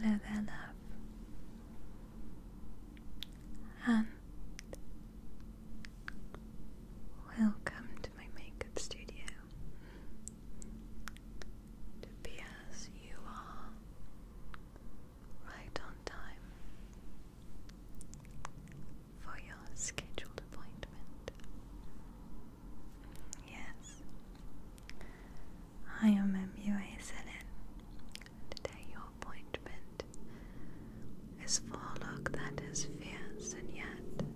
Hello there, and welcome to my makeup studio to be as you are right on time for your scheduled appointment. Yes, I am MUA Selin. Today, your appointment is for look that is fierce and yet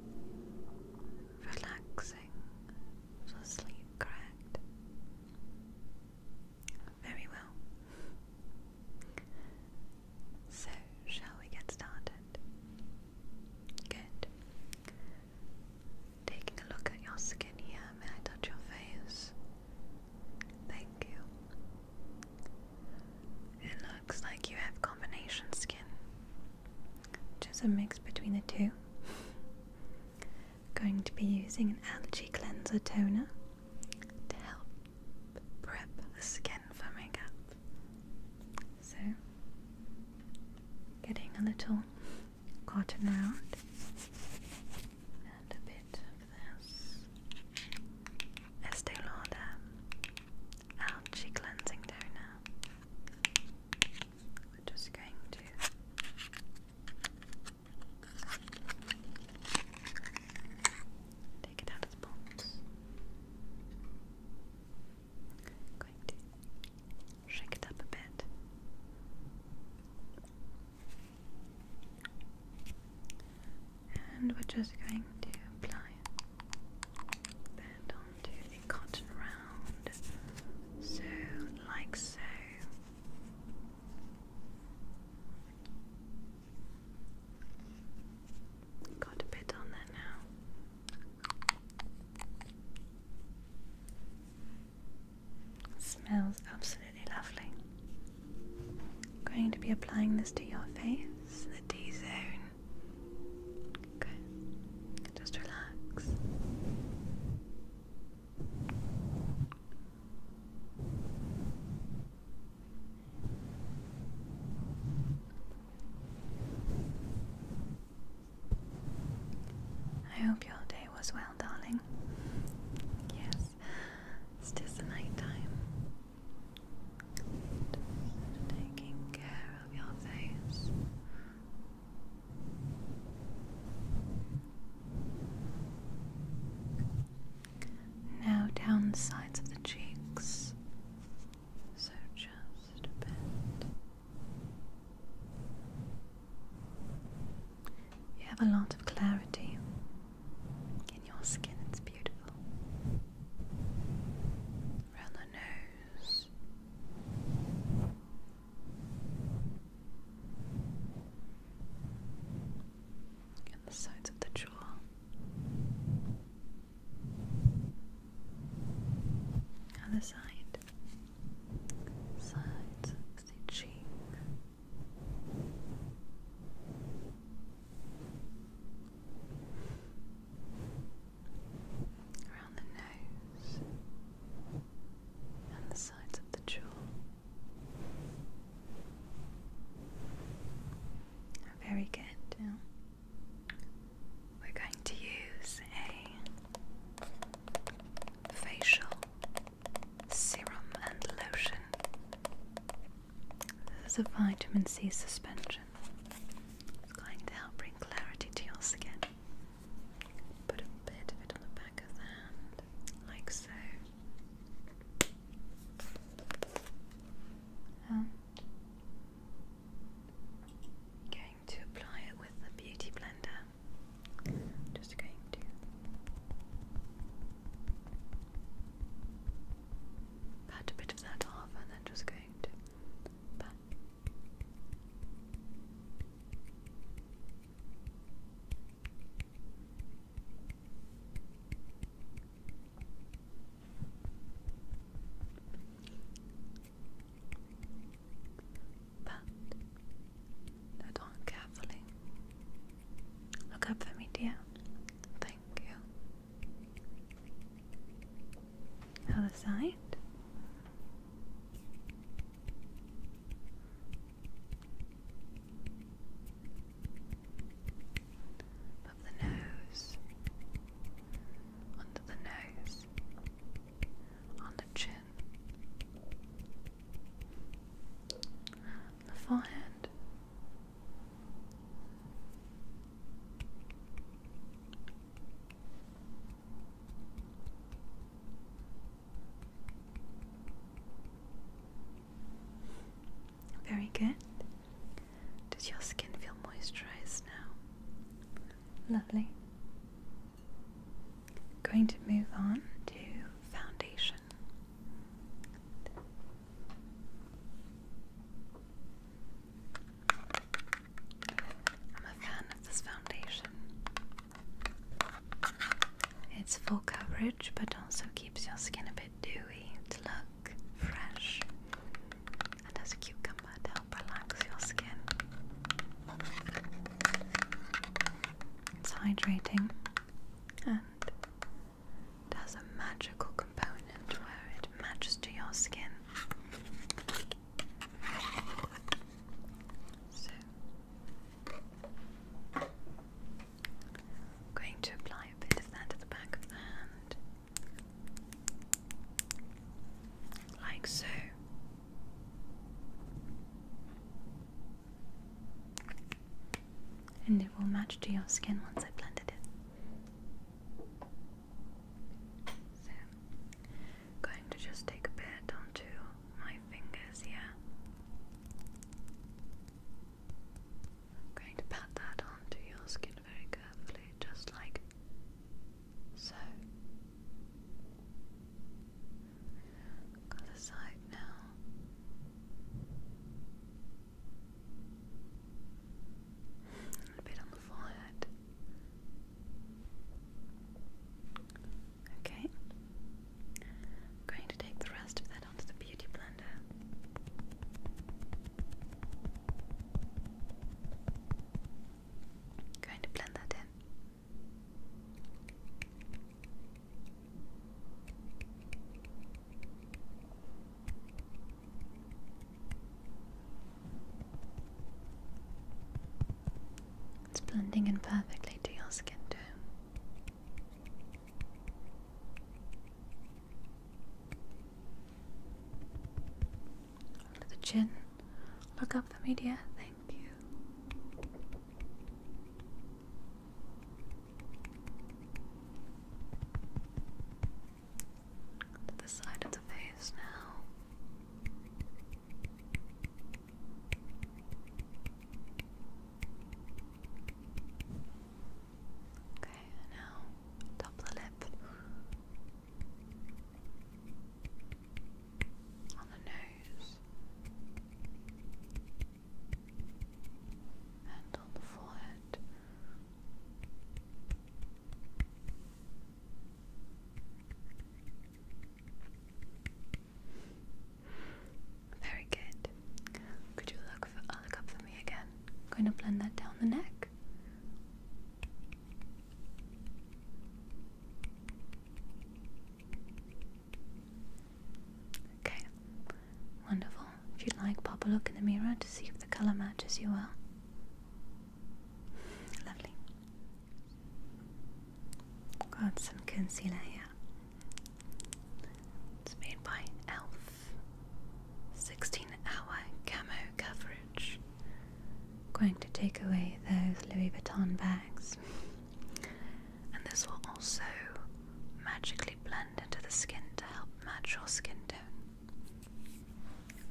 relaxing for sleep, correct? Very well. So, shall we get started? Good. Taking a look at your skin here, may I touch your face? Thank you. It looks like you have combination skin, which is a mix between the two. Going to be using an algae cleanser toner to help prep the skin for makeup. So, getting a little cotton round and a bit of this Estee Lauder Algae Cleansing Toner. We're just going to take it out of the box. going to shake it up a bit. And we're just going to apply that onto the cotton round, so like so. Got a bit on there now. Smells absolutely lovely. going to be applying this to your face, the D zone. Okay, just relax. I hope your day was well, darling. Yes, it's just the night time. taking care of your face. Now down the sides of the cheeks. So just You have a lot of clarity in your skin, it's beautiful. Around the nose and the sides of the jaw. Other side, sides of the cheek. Around the nose and the sides of the jaw, very good. we're going to use a facial serum and lotion. This is a vitamin C suspension. It's going to help bring clarity to your skin. Put a bit of it on the back of the hand, like so. I'm um, going to apply it with the beauty blender. Just going to pat a bit of that off and then just going to Pat that on carefully. Look up for me, dear. Thank you. Other side up the nose, under the nose, on the chin, the forehead, very good. Does your skin feel moisturized now? Lovely. Going to move on to foundation. I'm a fan of this foundation. It's full coverage but also keeps your skin a bit dewy to look fresh and as cucumber to help relax your skin. It's hydrating and it has a magical component where it matches to your skin going to apply a bit of that at the back of the hand. Like so. And it will match to your skin once I blended it. So, going to just take a bit onto my fingers here. I'm going to pat that onto your skin very carefully, just like so. Other side now. a bit on the forehead. Okay. I'm going to take the rest of that onto the beauty blender. going to blend that in. It's blending in perfectly to your skin too. Under the chin. Look up the media. Thank you. the side of the face now. Okay, now top the lip, on the nose, and on the forehead. Very good. Could you look, uh, look up for me again? I'm going to blend that down the neck. Okay, wonderful. If you'd like, pop a look in the mirror to see if the color matches you well. Lovely. Got some concealer here. It's made by Elf. 16 hour camo coverage. Going to take away those Louis Vuitton bags. And this will also magically blend into the skin to help match your skin tone.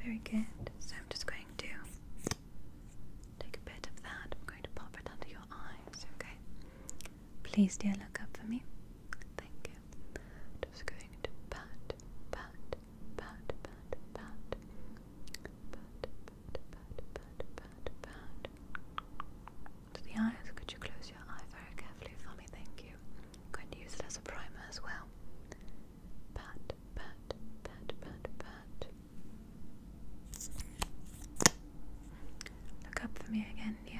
Very good. So I'm just going to take a bit of that. I'm going to pop it under your eyes, okay? Please, dear, look up for me. Thank you. Just going to pat, pat, pat, pat, pat, pat, pat, pat, pat, pat, pat. To the eyes, could you close your eye very carefully for me? Thank you. going to use it primer as well. Pat, pat, pat, pat, pat. Look up for me again, dear.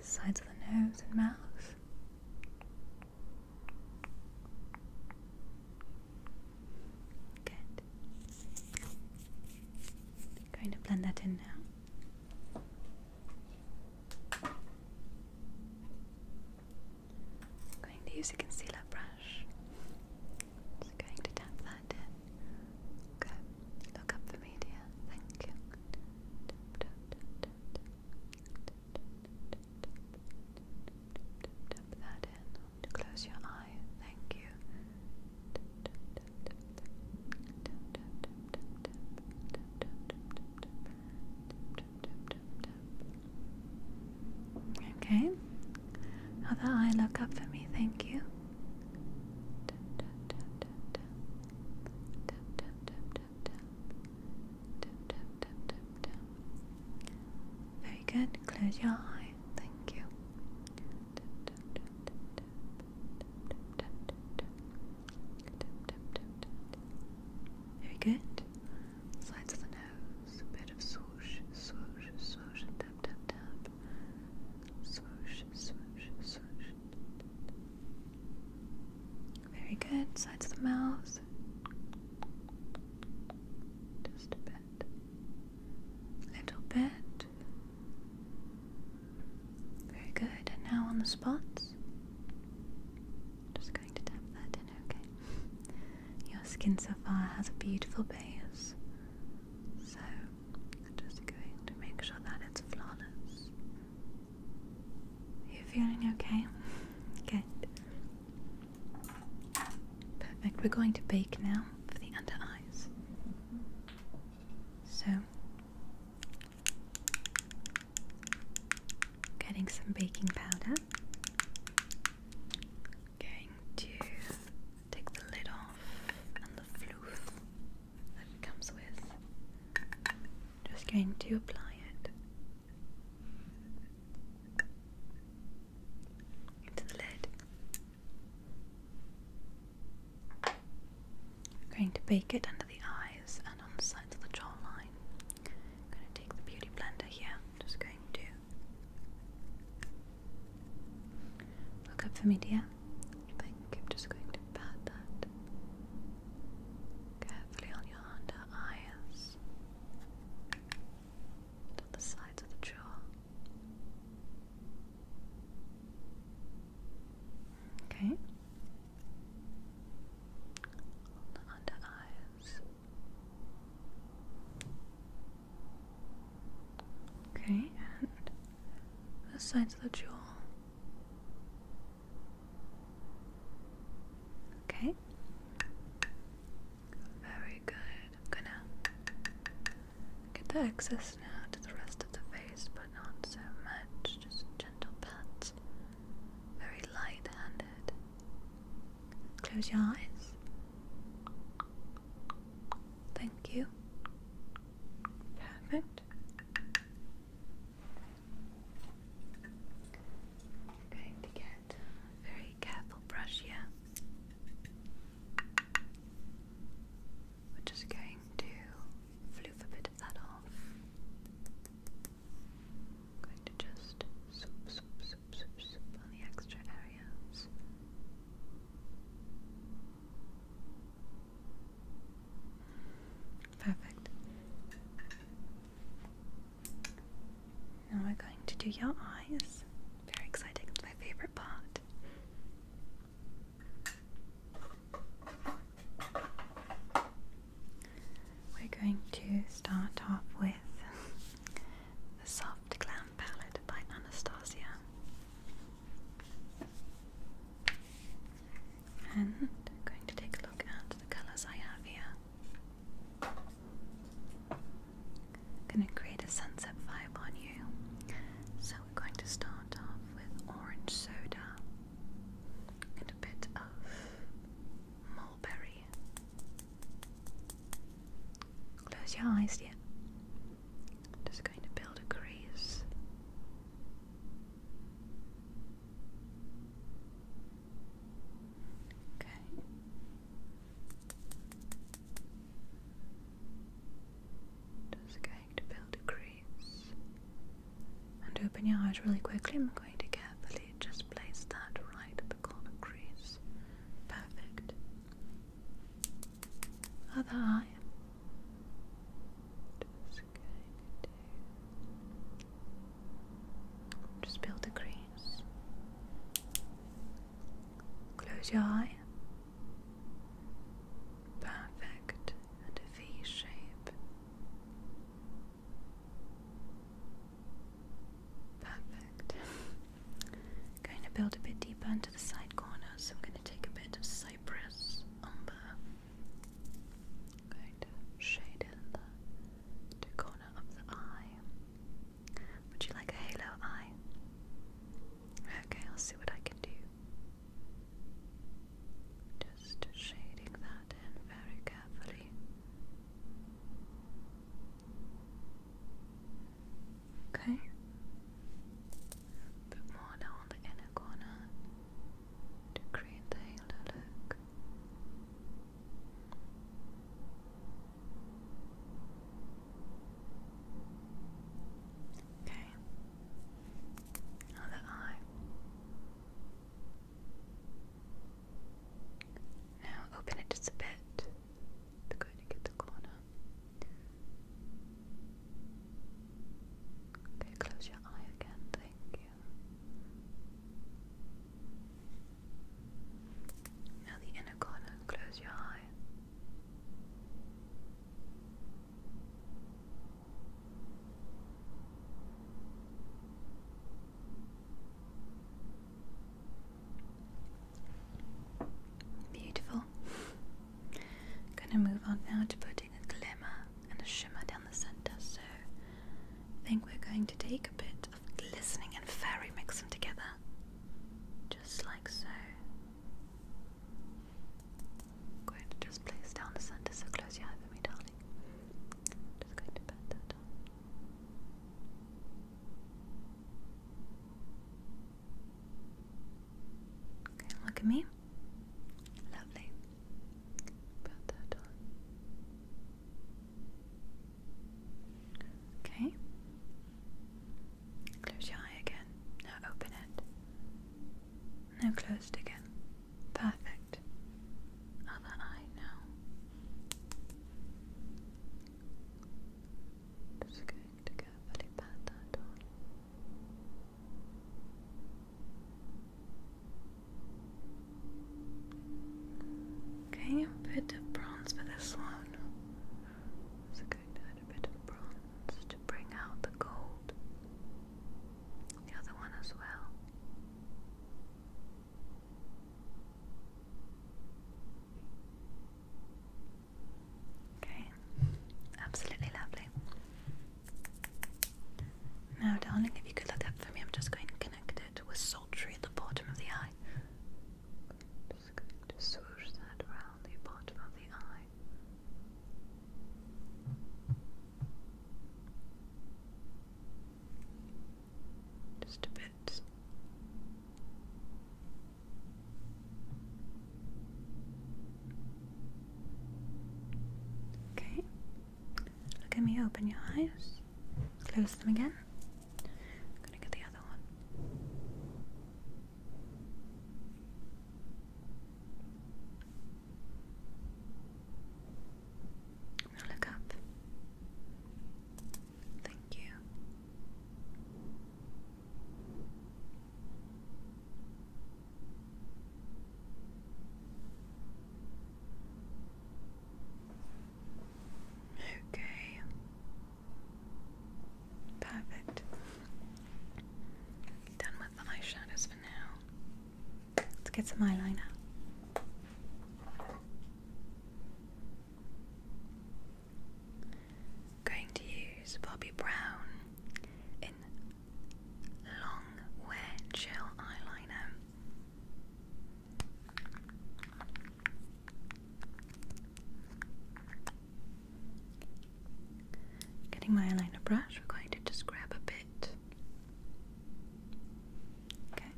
sides of the nose and mouth. Good. going to blend that in now. going to use a concealer brush. Just going to tap that in. Okay, look up for me, dear. Thank you. Tap, that in. Close your eye. Thank you. Okay. Other eye, look up for me. Thank you. Very good. Close your eyes. Thank you. Very good. Sides of the nose, a bit of swoosh, swoosh, swoosh, tap, tap, tap. Swish, swish, swish. Very good. Sides of the mouth. Just a bit. Little bit. Very good. And now on the spots. Just going to tap that in, okay? Your skin so far has a beautiful base. So i just going to make sure that it's flawless. You feeling okay? Good. Perfect. We're going to bake now for the under eyes. So, getting some baking powder. Going to take the lid off and the floof that it comes with. Just going to apply it into the lid. I'm going to bake it under the eyes and on the sides of the jawline. I'm going to take the beauty blender here. just going to look up for me, dear. I think just going to pat that carefully on your under eyes and the sides of the jaw. Okay. under eyes. Okay, and the sides of the jewel. Okay. Very good. gonna get the excess now to the rest of the face, but not so much. Just gentle pats. Very light handed. Close your eyes. Thank you. Perfect. going to get very careful brush here. We're just going to floof a bit of that off. going to just swoop, swoop, swoop, swoop on the extra areas. Perfect. Now we're going to do your eyes. Very exciting, it's my favorite part. We're going to start off with the soft clown Palette by Anastasia. And I'm going to take a look at the colours I have here. I'm going to create a sunset vibe on you. So we're going to start off with orange soda and a bit of mulberry. Close your eyes, dear. I'm just going to build a crease. Okay. Just going to build a crease. And open your eyes really quickly. I'm going to carefully just place that right at the corner crease. Perfect. Other eye. Just going to just build a crease. Close your eye. Perfect and a V shape. Perfect going to build a bit deeper into the side corner, so I'm going to take a bit of cypress umber. I'm shade in the, the corner of the eye. Would you like a halo eye? Okay, I'll see what I can do. Just shading that in very carefully. Okay. A bit more down the inner corner to create the halo look. Okay. Another eye. Now open it just a bit to go to the corner. Okay, close your eye again, thank you. Now the inner corner, close your eye. Beautiful. I'm gonna move on now to putting a glimmer and a shimmer down the center. So I think we're going to take a bit of glistening and fairy, mix them together, just like so. going to just place down the center. So close your eyes for me, darling. just going to pat that Okay, look at me. Lovely. Put that on. Okay. Close your eye again. Now open it. Now close again. Perfect. Other eye now. Just going to carefully pat that on. Okay, a bit of bronze for this one. So going to add a bit of bronze to bring out the gold. The other one as well. Okay, absolutely lovely. Now, darling, if you could look up for me, I'm just going to connect it with sultry at the bottom of the eye. just swoosh that around the bottom of the eye. Just a bit. Okay. Look at me, open your eyes. Close them again. gonna get the other one. look up. Thank you. Okay. Perfect. Done with the eyeshadows for now. Let's get some eyeliner. Going to use Bobby Brown in long, wear gel eyeliner. Getting my eyeliner brush, we're going to just grab a bit. Okay.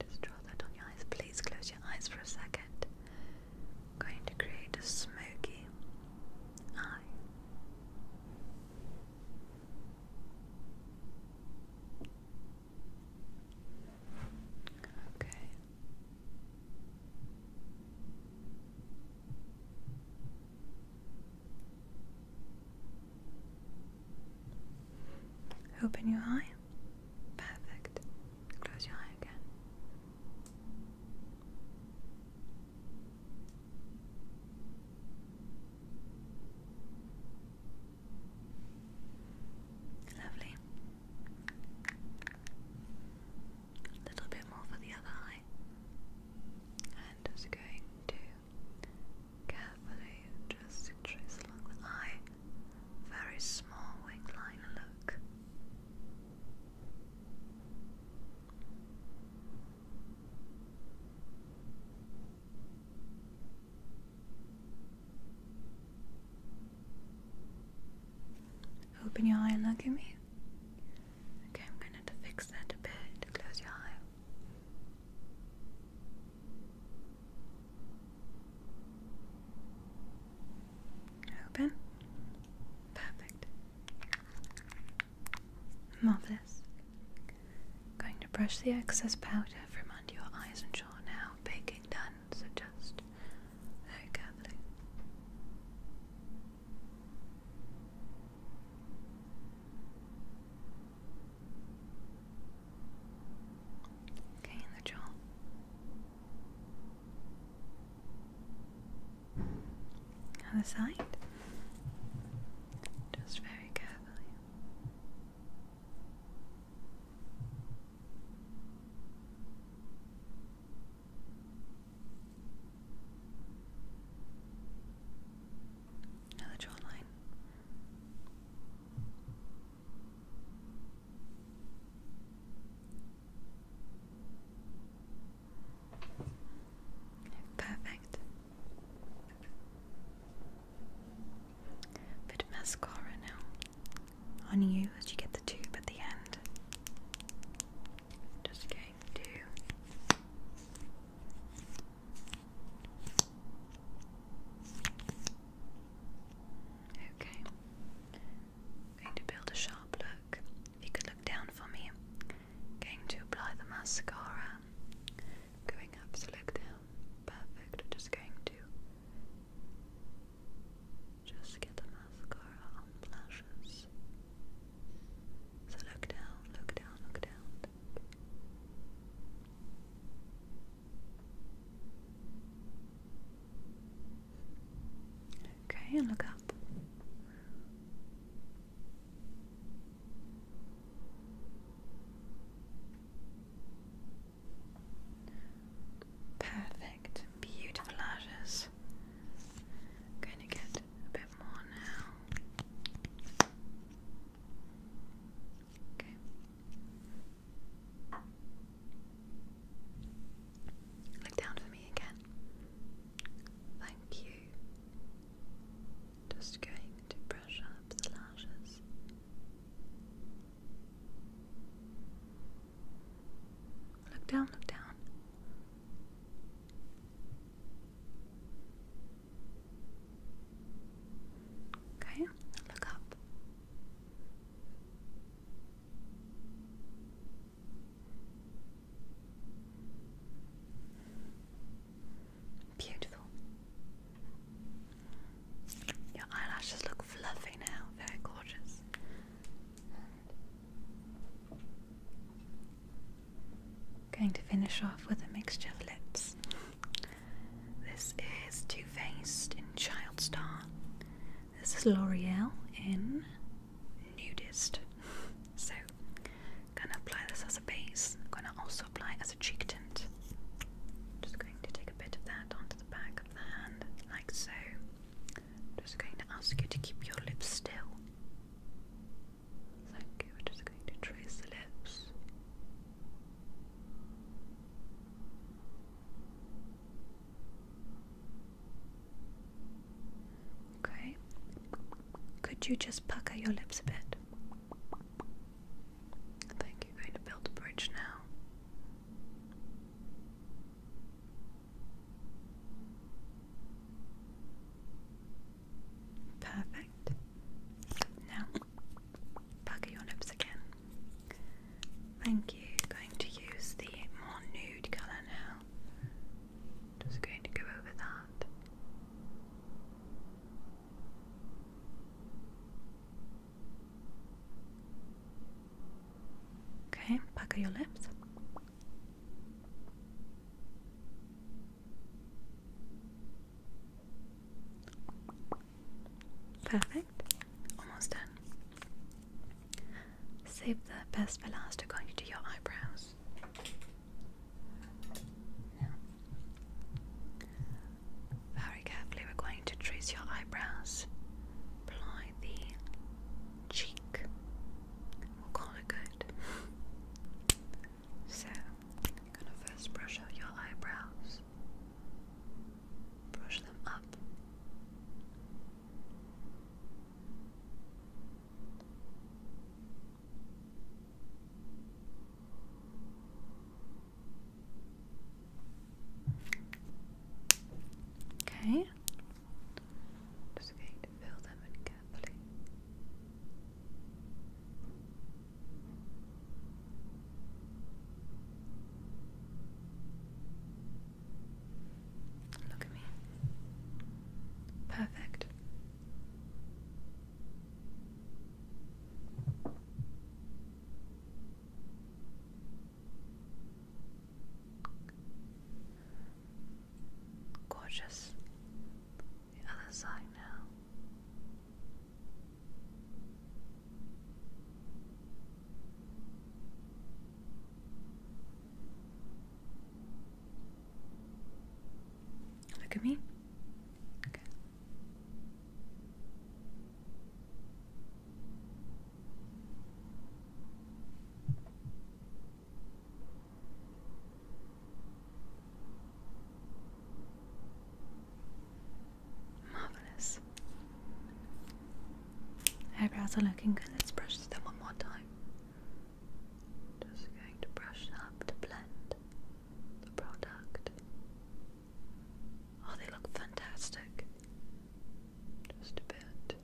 Just draw that on your eyes. Please close your eyes for a 2nd going to create a smoky eye. Okay. Open your eye. Perfect. Close your eye again. Lovely. A little bit more for the other eye. And just going to Carefully adjust trace along the eye. Very small wing line look. Open your eye look at me. Okay, I'm going to, to fix that a bit. Close your eye. Open. Perfect. Marvelous. I'm going to brush the excess powder from under your eyes and jaw now. Baking done, so just very carefully. Okay, the jaw. Other side. Just very carefully. Another jawline. Perfect. Bit of mascara now on you as you get the tube at the end. Just going to Okay. I'm going to build a sharp look. you could look down for me. going to apply the mascara. Going up to look down. Perfect. just going to just get the mascara on the lashes. So look down, look down, look down. Okay, look up. Perfect, beautiful lashes. going to get a bit more now. Look down for me again. Thank you. Just going to brush up the lashes. Look down, look down. Okay, look up. Beautiful. Your eyelashes look fluffy now, very gorgeous. Going to finish off with a mixture of lips. This is Too Faced in Child Star. This is L'Oreal in Nudist. So, gonna apply this as a base. I'm gonna also apply it as a cheek tint. Just going to take a bit of that onto the back of the hand, like so. Just going to ask you to keep your lips still. Thank you. We're just going to trace the lips. Okay. Could you just pucker your lips a bit? I you going to build a bridge now. Perfect. Now, pucker your lips again. Thank you. Going to use the more nude colour now. Just going to go over that. Okay, pucker your lips. Perfect. Almost done. Save the best for last. We're going to do your eyebrows. Now, very carefully, we're going to trace your eyebrows. Apply the cheek. We'll call it good. So, I'm gonna first brush out your eyebrows. Brush them up. Okay. Just going to fill them in carefully. Look at me. Perfect. Gorgeous the other side now. Look at me. Okay. Marvelous. Eyebrows are looking good. Let's brush them one more time. Just going to brush up to blend the product. Oh, they look fantastic. Just a bit.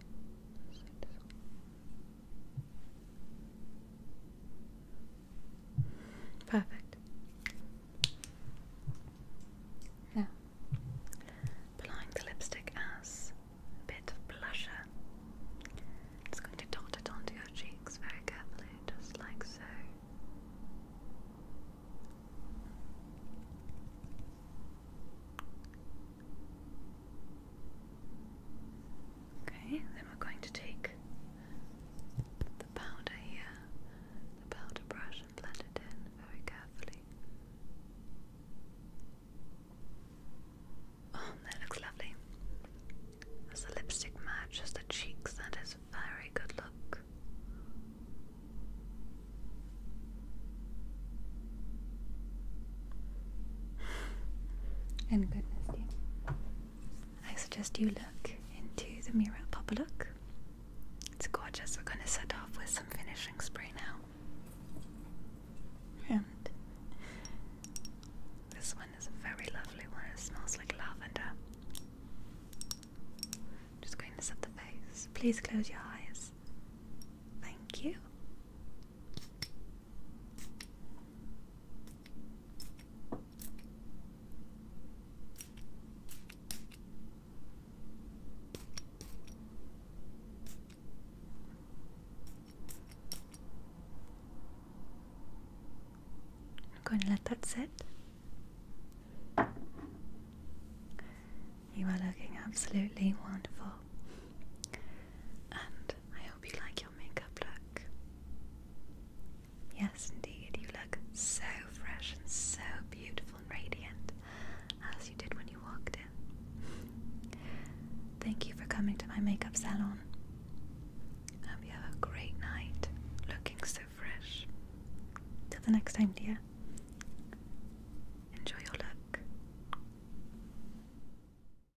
Perfect. Now, applying lipstick as a bit of blusher. It's going to dot it onto your cheeks very carefully, just like so. Okay, then we're going to take the powder here, the powder brush, and blend it in very carefully. Oh, that looks lovely. As the lipstick matches the cheeks, that is a very good look. And goodness, yeah. I suggest you look into the mirror. Pop a look. It's gorgeous. We're going to set off with some finishing spray now. And this one is a very lovely one. It smells like lavender. Just going to set the face. Please close your eyes. Thank you. I'm going to let that sit. You are looking absolutely wonderful. And I hope you like your makeup look. Yes, indeed, you look so fresh and so beautiful and radiant as you did when you walked in. Thank you for coming to my makeup salon. I hope you have a great night, looking so fresh. Till the next time, dear. Enjoy your look.